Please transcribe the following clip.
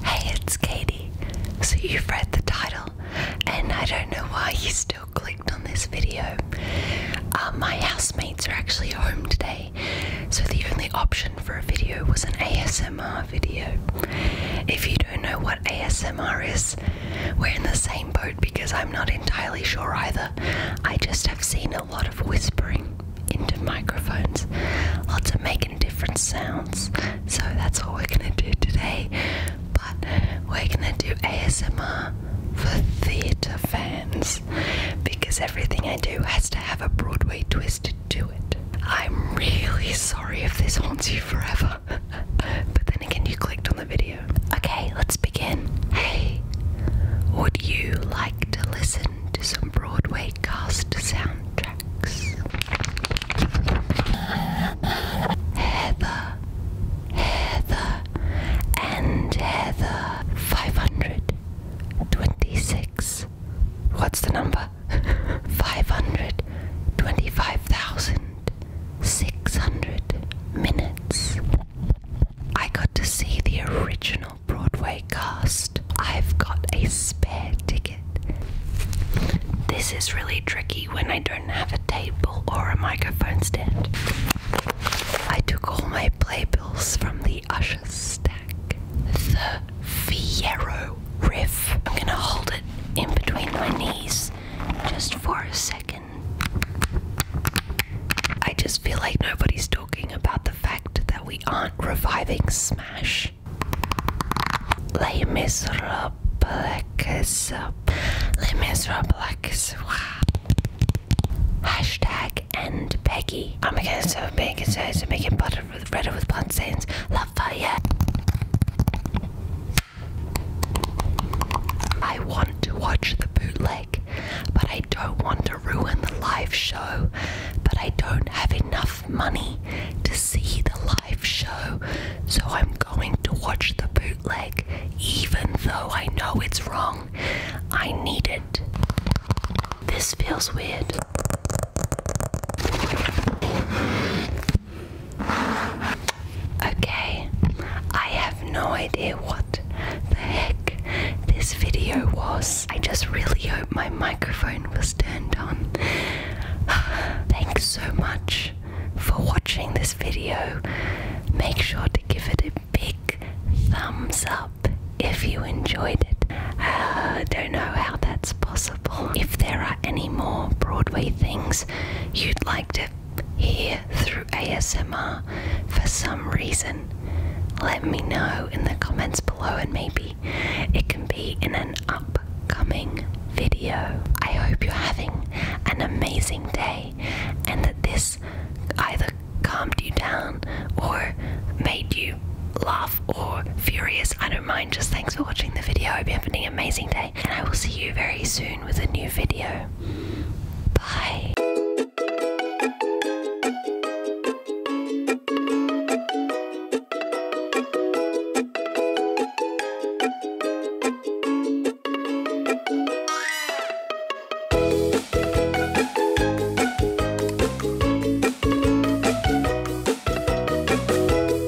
Hey, it's Katie. So, you've read the title, and I don't know why you still clicked on this video. Uh, my housemates are actually home today, so the only option for a video was an ASMR video. If you don't know what ASMR is, we're in the same boat because I'm not entirely sure either. I just have seen a lot of whispering into microphones, lots of making different sounds. So that's what we're gonna do today. But we're gonna do ASMR for theatre fans because everything I do has to have a Broadway twist to it. I'm really sorry if this haunts you forever, but then again, you clicked on the video. Okay, let's begin. Hey, would you like to listen to some Broadway cast soundtracks. Heather, Heather, and Heather. 526. What's the number? 525,600 minutes. I got to see the original Broadway cast. I've got a spare ticket. This is really tricky when I don't have a table or a microphone stand. I took all my playbills from the Usher stack. The Fiero riff. I'm gonna hold it in between my knees just for a second. I just feel like nobody's doing talking about the fact that we aren't reviving Smash. Les Miserables. Les Miserables. Hashtag and Peggy. I'm against so big and making butter with bread with blunt stains. Love fire. I want to watch the bootleg but I don't want to ruin the live show. But I don't have enough money to see the live show, so I'm going to watch the bootleg, even though I know it's wrong. I need it. This feels weird. Okay, I have no idea what the heck this video was. I just really hope my microphone was turned on. Thanks so much for watching this video. Make sure to give it a big thumbs up if you enjoyed it. I uh, don't know how that's possible. If there are any more Broadway things you'd like to here through ASMR for some reason, let me know in the comments below, and maybe it can be in an upcoming video. I hope you're having an amazing day and that this either calmed you down or made you laugh or furious. I don't mind. Just thanks for watching the video. I hope you're having an amazing day and I will see you very soon with a new video. Bye.